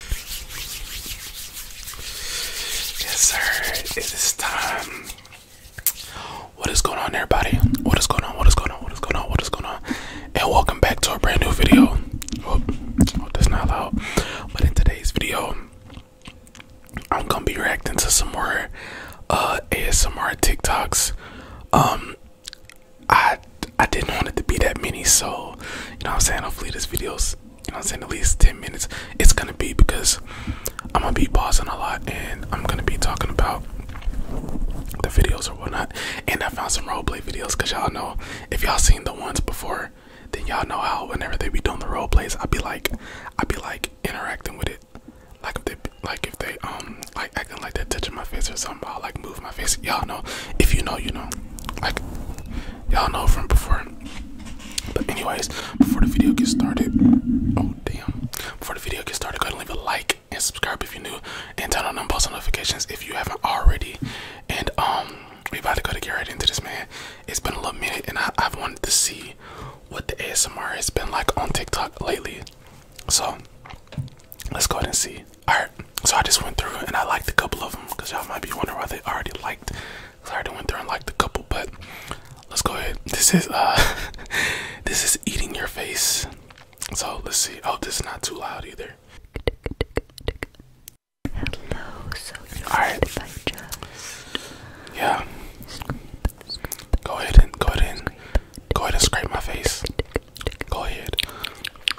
Yes, sir. It is time. What is going on, everybody? What is going on? What is going on? What is going on? What is going on? And welcome back to a brand new video. Oh, that's not loud. But in today's video, I'm gonna be reacting to some more uh, ASMR TikToks. Um, I I didn't want it to be that many, so you know what I'm saying. Hopefully, this video's you I'm saying, at least 10 minutes. It's gonna be because I'm gonna be pausing a lot and I'm gonna be talking about the videos or whatnot. And I found some roleplay videos because y'all know if y'all seen the ones before, then y'all know how whenever they be doing the roleplays, I'd be like, I'd be like interacting with it. Like if they, like if they, um, like acting like that are touching my face or something, I'll like move my. Y'all know. If you know, you know. Like, y'all know from before. But anyways, before the video gets started, oh damn. Before the video gets started, go ahead and leave a like and subscribe if you're new, and turn on post notifications if you haven't already. And um, we about to go to get right into this, man. It's been a little minute, and I, I've wanted to see what the ASMR has been like on TikTok lately. So let's go ahead and see. Alright, so I just went through and I liked a couple of them because y'all might be wondering why they already liked. Cause I already went through and liked a couple, but let's go ahead. This is uh, this is eating your face. So let's see. Oh, this is not too loud either. Hello, so All right. yeah. Go ahead and go ahead and go ahead and scrape my face. Go ahead.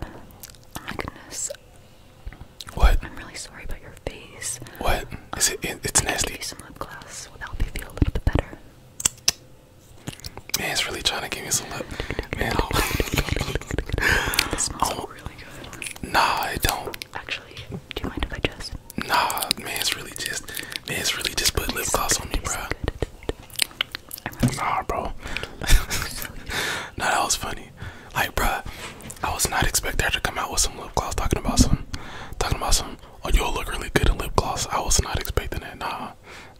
my goodness. What? I'm really sorry about your face. What? Is it? It's nasty. some lip gloss. Will help you feel a better. Man, it's really trying to give me some lip. Man, this smells oh. really good. Nah, it don't. Actually, do you mind if I just? Nah, man, it's really just, man, it's really just put lip gloss on me, bro nah, bro. so that was funny. Like, bruh, I was not expecting her to come out with some lip gloss talking about some, talking about some. Oh, you'll look really good in lip gloss. I was not expecting that. Nah,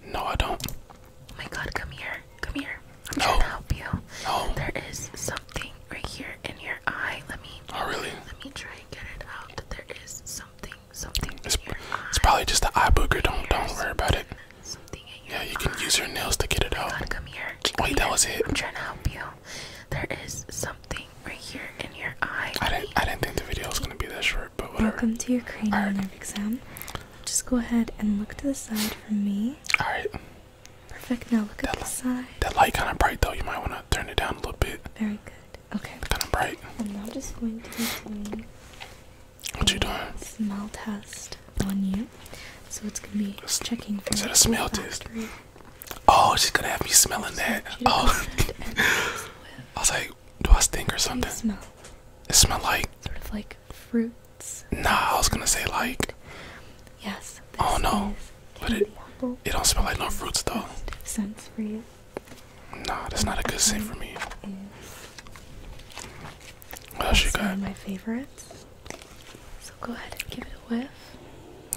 no, I don't. Oh my God, come here, come here. I'm no. to help you. Oh, There is something right here in your eye. Let me. Oh really? Let me try and get it out. There is something, something. It's, it's probably just the eye booger. Don't, don't worry about it. Yeah, you can use your nails to get it out. God, come here. Wait, that was it. I'm trying to help you. There is something right here in your eye. I didn't I didn't think the video was gonna be that short, but whatever. Welcome to your cranial right. nerve exam. Just go ahead and look to the side for me. Alright. Perfect. Now look that at the side. That light kind of bright though. You might want to turn it down a little bit. Very good. Okay. Kind of bright. I'm now just going to what you doing? Smell test on you. So it's gonna be it's, checking for. Is that a smell test? Oh, she's gonna have me smelling that. Oh. I was like, do I stink or something? It smell. It smell like. Sort of like fruits. Nah, I was gonna say like. Yes. Oh no. But it. Apple. It don't smell like no fruits though. Sense for you. No, that's not a good scent for me. What she got? my favorites. So go ahead and give it a whiff.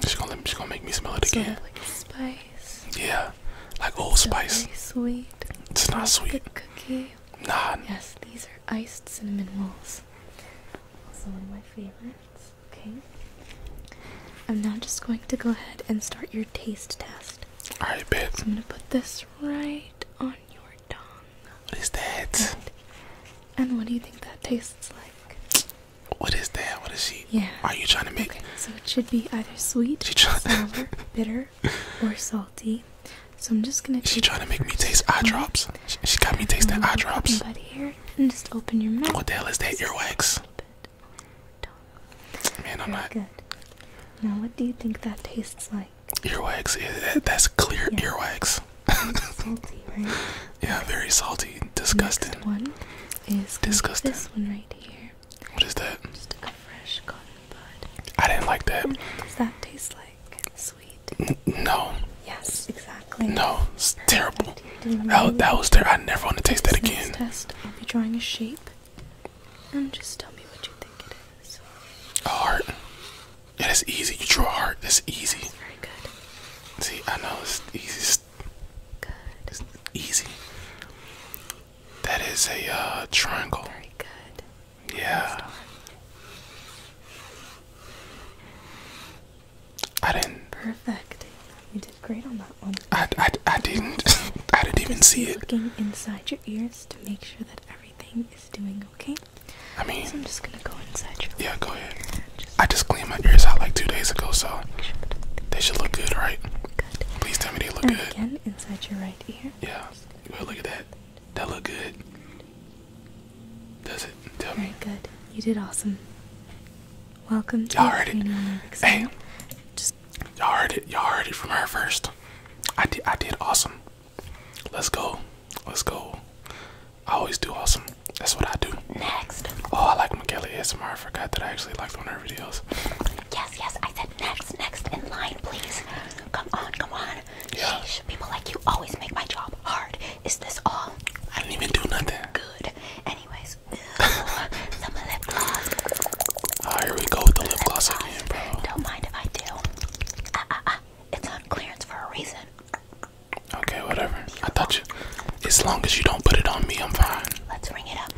She's gonna let me, she's gonna make me smell it again. like spice. Yeah, like old spice. sweet. It's not sweet. Cookie. Nah. Yes, these are iced cinnamon rolls. Also one of my favorites. Okay. I'm now just going to go ahead and start your taste test. Alright, babe. So I'm gonna put this right on your tongue. What is that? And, what do you think that tastes like? What is that? What is she? Yeah. Are you trying to make? Okay, so it should be either sweet, sour, bitter, or salty. So I'm just gonna. She's trying to make me taste eye drops. She, got me tasting um, eye drops. But here, and just open your mouth. What the hell is that earwax? Man, I'm not. Good. Now, what do you think that tastes like? Earwax, that's clear earwax. Yeah, very salty. Disgusting. one is Disgusting. this one right here. What is that? Just a fresh cotton bud. I didn't like that. Does that taste like sweet? no. Yes, exactly. No, it's terrible. That, was terrible. I never want to taste that again. Test. I'll be drawing a shape. And um, just tell me what you think it is. A heart. It is easy. You draw a heart. It's easy. very good. See, I know it's easy. Good. easy. That is a uh, triangle. Very good. Yeah. I didn't. Perfect. You did great on that one. I, I, I didn't. I didn't even see it. Looking inside ears to make sure that everything is doing okay. I mean, I'm just gonna go inside your. Yeah, go ahead. I just cleaned my ears out like two days ago, so they should look good, right? Good. Please tell me they look good. Again, inside your right ear. Yeah. Well, look at that. That look good. Does it? Tell Very good. You did awesome. Welcome to Y'all heard Hey. Y'all heard it. Y'all heard it from her first. I did. I did awesome. Let's go. Let's go. I always do awesome. That's what I do. Next. Oh, I like Michaela ASMR. I forgot that I actually liked one of her videos. Yes, yes. I said next, next in line, please. Come on, come on. Yeah. Sheesh, people like you always make my job hard. Is this all? I didn't even do nothing. Good. Anyways, ah, here we go with the lip, gloss again, I ah, ah, ah. Okay, whatever. I thought you. As long as you don't put it on me, I'm fine. Let's ring it up.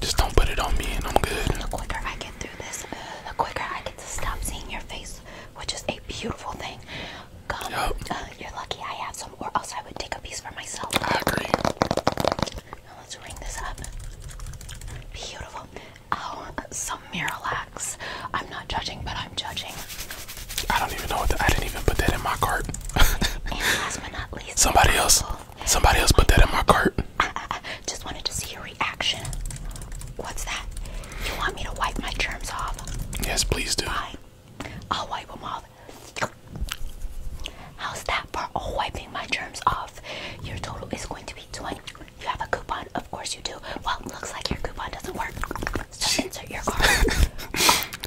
Just don't put it on me, and I'm good. The quicker I get through this, uh, the quicker I get to stop seeing your face, which is a beautiful thing. Come, uh, you're lucky I have some, or else I would take a piece for myself. I agree. let's ring this up. Beautiful. Oh, some Miralax. I'm not judging, but I'm judging. I don't even know what the, I didn't even put that in my cart. and last but not least, somebody else. Somebody else put that in my cart. I, uh, uh, uh, just wanted to see your reaction. What's that? You want me to wipe my germs off? Yes, please do. Fine. I'll wipe them off. How's that for wiping my germs off? Your total is going to be 20. You have a coupon? Of course you do. Well, looks like your coupon doesn't work. Just insert your card.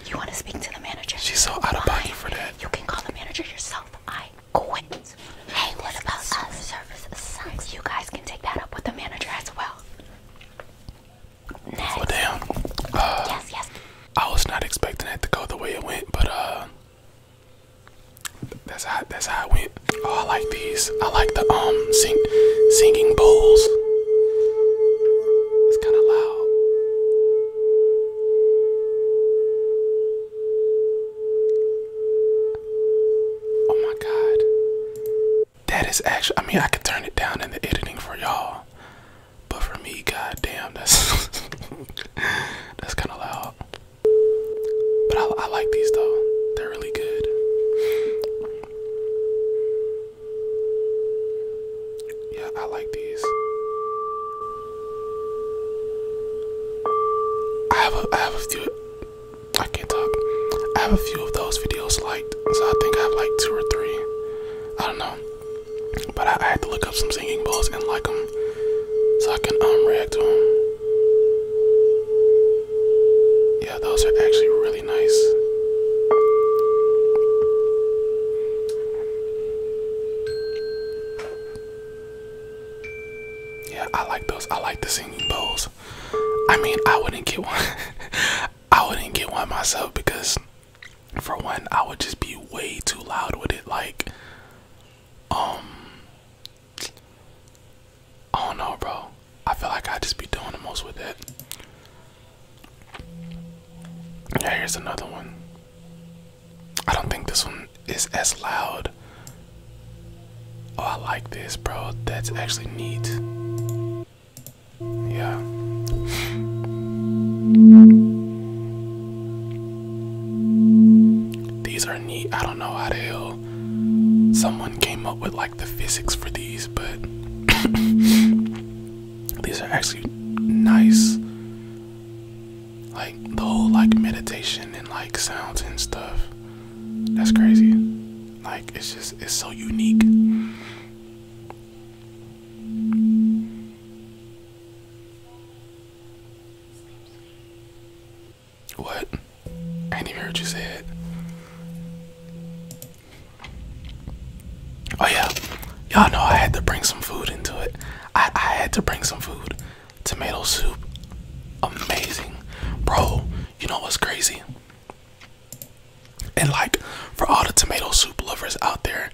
you want to speak to the manager? She's so out of pocket for that. You can call the manager yourself. I quit. Hey, what about us? Service sucks. You guys can take that up with the manager as well. Next. damn. Uh, yes, yes. I was not expecting it to go the way it went, but uh, that's how that's how it went. Oh, I like these. I like the um sing singing bowls. It's kind of loud. Oh my god. That is actually. I mean, I could turn it down in the editing for y'all, but for me, God damn, that's that's kind of loud. But I, like these though. They're really good. Yeah, I like these. I have a, I have a few. I can't talk. I have a few of those videos liked, so I think I have like two or three. I don't know, but I, I had to look up some singing bowls and like them so I can um react to them. Yeah, those are actually really nice. Yeah, I like those. I like the singing bowls. I mean, I wouldn't get one. I wouldn't get one myself because, for one, I would just be way too loud with it. Like, um, I do bro. I feel like I just be doing the most with it. Yeah, here's another one. I don't think this one is as loud. Oh, I like this, bro. That's actually neat. Yeah. These are neat. I don't know how the hell someone came up with like the physics for these, but these are actually nice. Like the whole like meditation and like sounds and stuff. That's crazy. Like it's just it's so unique. What? I didn't hear you say it. Oh yeah, y'all know I had to bring some food into it. I, I had to bring some food. Tomato soup, amazing, bro. You know what's crazy? And like, for all the tomato soup lovers out there,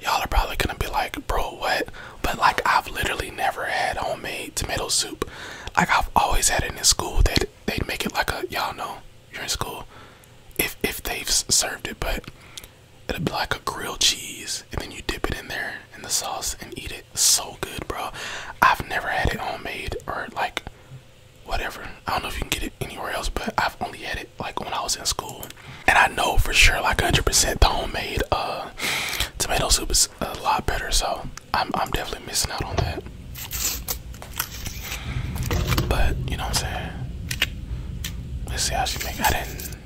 y'all are probably gonna be like, bro, what? But like I've literally never had homemade tomato soup. Like I've always had it in school they'd, they'd make it like a y'all know you're in school if if they've served it, but it would be like a grilled cheese and then you dip it in there in the sauce and eat it. So good, bro. I've never had it homemade or like whatever. I don't know if you can get it anywhere else, but I've only had it like when I was in school. And I know for sure, like 100%, the homemade uh, tomato soup is a lot better, so I'm I'm definitely missing out on that. But you know what I'm saying? Let's see how she make. I didn't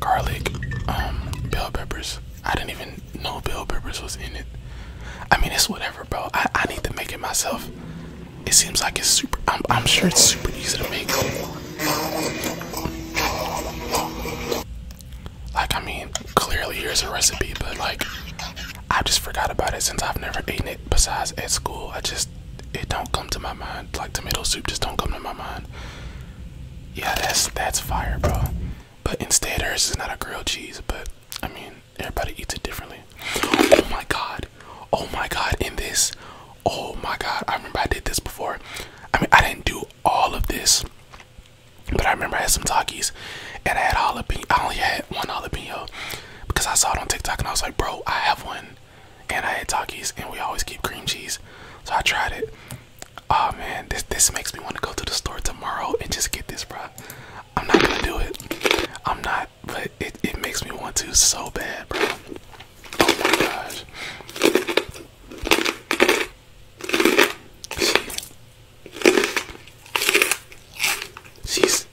garlic, um, bell peppers. I didn't even know bell peppers was in it. I mean, it's whatever, bro. I I need to make it myself. It seems like it's super. I'm I'm sure it's super easy to make. Like, I mean, clearly here's a recipe, but like, I just forgot about it since I've never eaten it besides at school. I just, it don't come to my mind. Like, tomato soup just don't come to my mind. Yeah, that's, that's fire, bro. But instead, hers is not a grilled cheese, but I mean, everybody eats it differently. Oh my god. Oh my god, in this. Oh my god, I remember I did this before. I mean, I didn't do all of this. But I remember I had some talkies, and I had jalapeno. I only had one jalapeno because I saw it on TikTok and I was like, bro, I have one. And I had talkies, and we always keep cream cheese. So I tried it. Oh man, this this makes me want to go to the store tomorrow and just get this, bro. I'm not gonna do it. I'm not, but it, it makes me want to so bad, bro. Oh my gosh. She, she's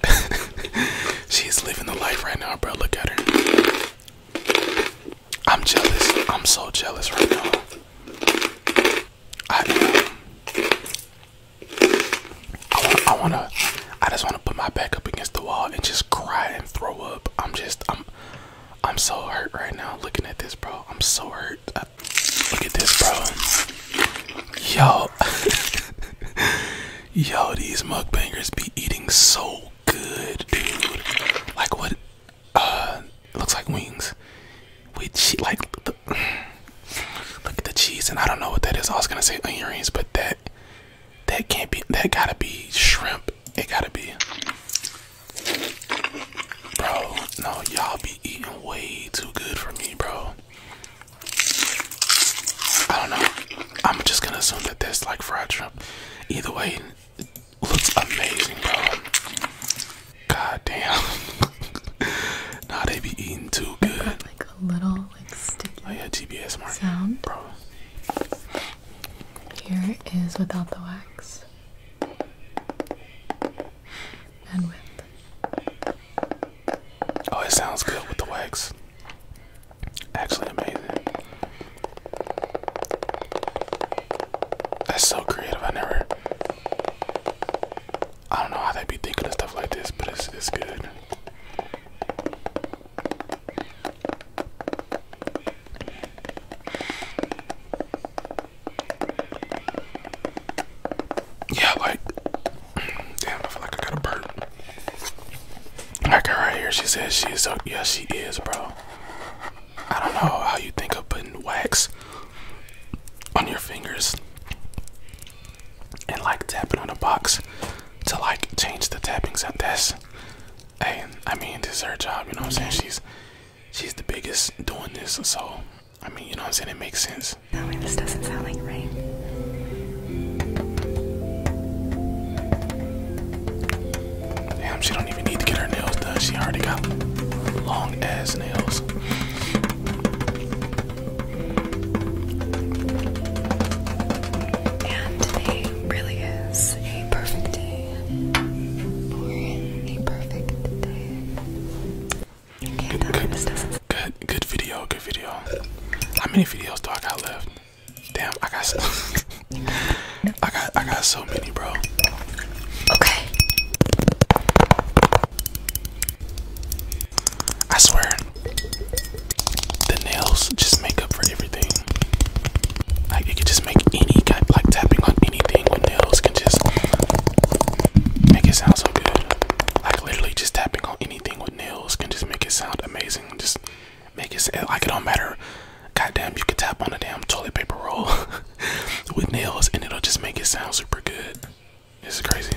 she's living the life right now, bro. Look at her. I'm jealous. I'm so jealous right now. I um, I want to I just want to put my back up against the wall and just cry and throw up. I'm just I'm I'm so hurt right now looking at this, bro. I'm so hurt. look at this, bro. Yo, yo, these mukbangers be eating so good, dude. Like what? Uh, looks like wings. We like the, look at the cheese, and I don't know what that is. I was gonna say onions, but that that can't be. That gotta be shrimp it gotta be. Bro, no, y'all be eating way too good for me, bro. I don't know. I'm just gonna assume that this like fried shrimp. Either way, it looks amazing, bro. God damn. nah, they be eating too good. like a little like sticky. Oh yeah, TBS mark. Sound, bro. Here is without the wax. Oh, it sounds good with the wax. Actually, amazing. That's so creative. I never. I don't know how they be thinking of stuff like this, but it's it's good. Yeah, like, damn, I feel like I got a burp. Like her right here, she says she's is. A, yeah, she is, bro. I don't know how you think of putting wax on your fingers and like tapping on a box to like change the tappings on this. Hey, I mean, this her job. You know what I'm saying? She's she's the biggest doing this, so I mean, you know I'm saying? It makes sense. this doesn't sound like rain. Damn, she don't even need to get her nails done. She already got long ass nails. And today really is a perfect day good, good, good, video, good video. How many videos do I got left? Damn, I got so I got I got so many, bro. Okay. I swear, the nails just make up for everything. Like it can just make any guy like tapping on anything with nails can just make it sound so good. Like literally just tapping on anything with nails can just make it sound amazing. Just make it like it don't matter. Goddamn, you can tap on a damn toilet paper roll with nails and it'll just make it sound super good. This is crazy.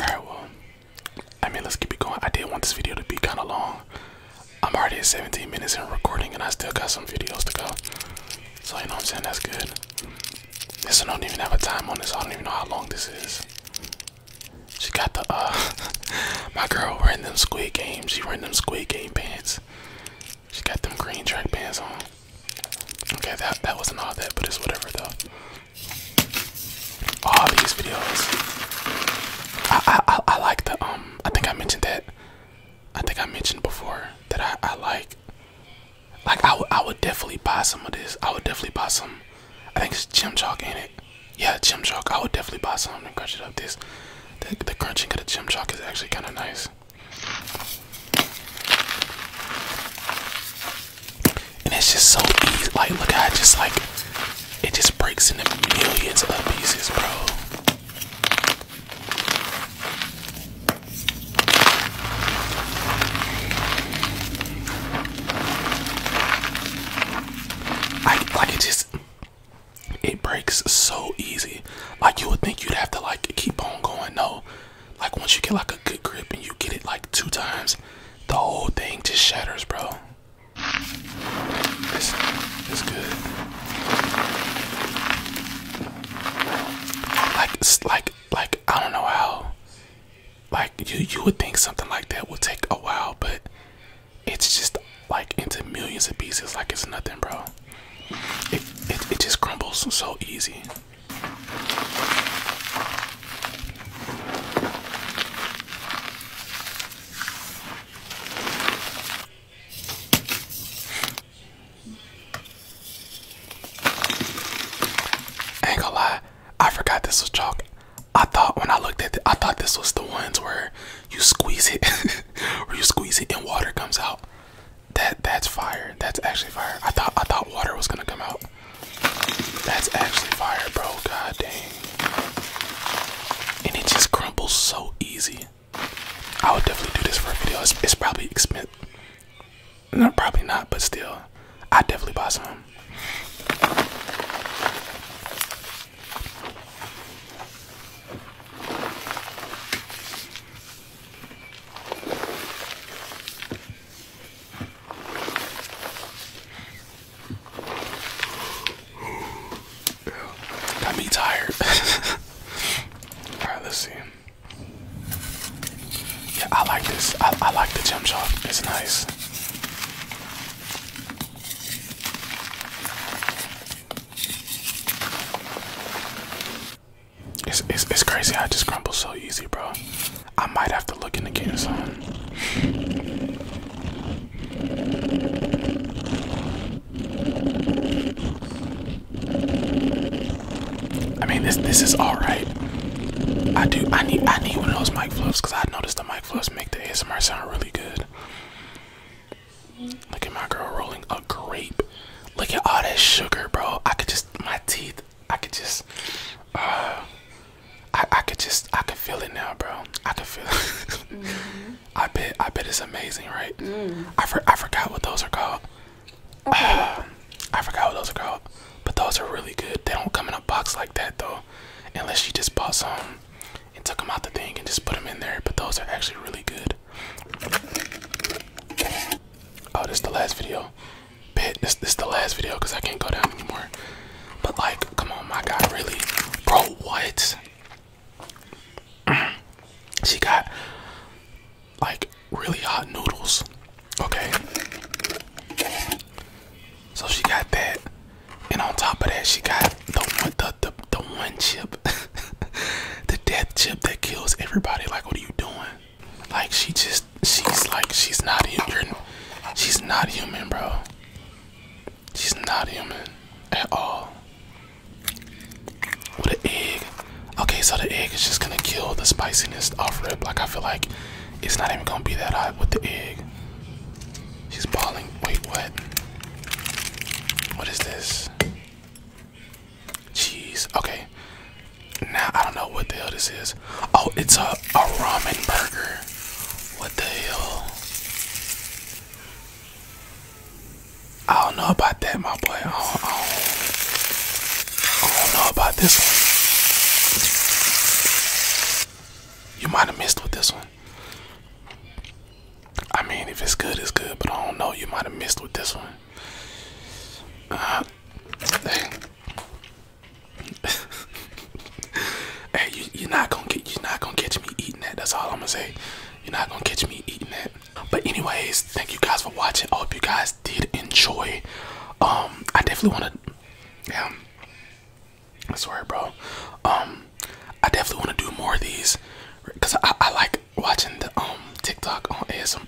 Alright, well, I mean, let's keep it going. I did want this video to be kind of long. I'm already at 17 minutes in recording, and I still got some videos to go. So, you know what I'm saying? That's good. This one don't even have a time on this. I don't even know how long this is. She got the, uh, my girl wearing them squid games. She wearing them squid game pants. She got them green track pants on. Okay, that that wasn't all that, but it's whatever though. All these videos. I I I, like the um. I think I mentioned that. I think I mentioned before that I I like. Like I would I would definitely buy some of this. I would definitely buy some. I think it's gym chalk in it. Yeah, gym chalk. I would definitely buy some and crunch it up. This, the, crunching of the gym chalk is actually kind of nice. And it's just so easy. Like, look at it just like it just breaks into millions of pieces, bro. I like it just it breaks so easy. Like you would think you'd have to like keep on going. No, like once you get like a good grip and you get it like two times, the whole thing just shatters, bro. This is good. Like it's like like I don't know how. Like you you would think something like that would take a while, but it's just like into millions of pieces like it's nothing, bro. It, it, it just crumbles so easy. I ain't gonna lie, I forgot this was chalk. I thought when I looked at it, I thought this was the ones where you squeeze it, where you squeeze it and water comes out. That that's fire. That's actually fire. I thought I thought water was gonna come out. That's actually fire, bro. God dang. And it just crumbles so easy. I would definitely do this for a video. It's, it's probably expensive. No, probably not, but still, I definitely buy some. Got me tired. Alright, let's see. Yeah, I like this. I, I like the jump shot. It's nice. It's, it's, it's crazy I just crumble so easy, bro. I might have to look into getting some. I mean, this this is all right. I do. I need I need one of those mic fluffs because I noticed the mic fluffs make the ASMR sound really good. Look at my girl rolling a grape. Look at all that sugar, bro. I could just my teeth. I could just. Uh, I I could just. I could feel it now, bro. I could feel it. I bet. I bet it's amazing, right? Mm. I I forgot what those are called. I forgot what those are called, but those are really good. They don't come in a box like that though, unless you just bought some and took them out the thing and just put them in there. But those are actually really good. Oh, this is the last video. Bit, this, this the last video because I can't go down anymore. But like, come on, my guy, really, bro, what? she got like really hot noodles. Okay. So she got that, and on top of that, she got the one, the the, the one chip. the death chip that kills everybody. Like, what are you doing? Like, she just, she's like, she's not human. She's not human, bro. She's not human at all. With an egg. Okay, so the egg is just gonna kill the spiciness off rip. Like, I feel like it's not even gonna be that hot with the egg. She's balling. Wait, what? What is this? Jeez. Okay. Now I don't know what the hell this is. Oh, it's a a ramen burger. What the hell? I don't know about that, my boy. I don't, know about this one. You might have missed with this one. I mean, if it's good, it's good, but I don't know. You might have missed with this one. Uh, hey, hey you, are not gonna get you're not gonna catch me eating that. That's all I'm gonna say. You're not gonna catch me eating that. But anyways, thank you guys for watching. I hope you guys did enjoy. Um, I definitely wanna, yeah. I sorry, bro. Um, I definitely wanna do more of these, cause I, I like watching the um TikTok on ASM.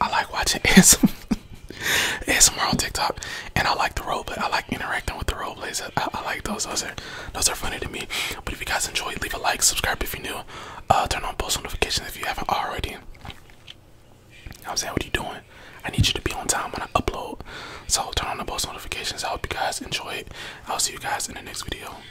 I like watching ASM ASMR on TikTok, and I like the roleplay. I like interacting with the roleplays. I, like those. Those are those are funny to me. But if you guys enjoy, leave a like, subscribe if you're new, uh, turn on post notifications if you haven't already. I'm saying, what you doing? I need you to be on time when I upload. So turn on the post notifications. I hope you guys enjoy it. I'll see you guys in the next video.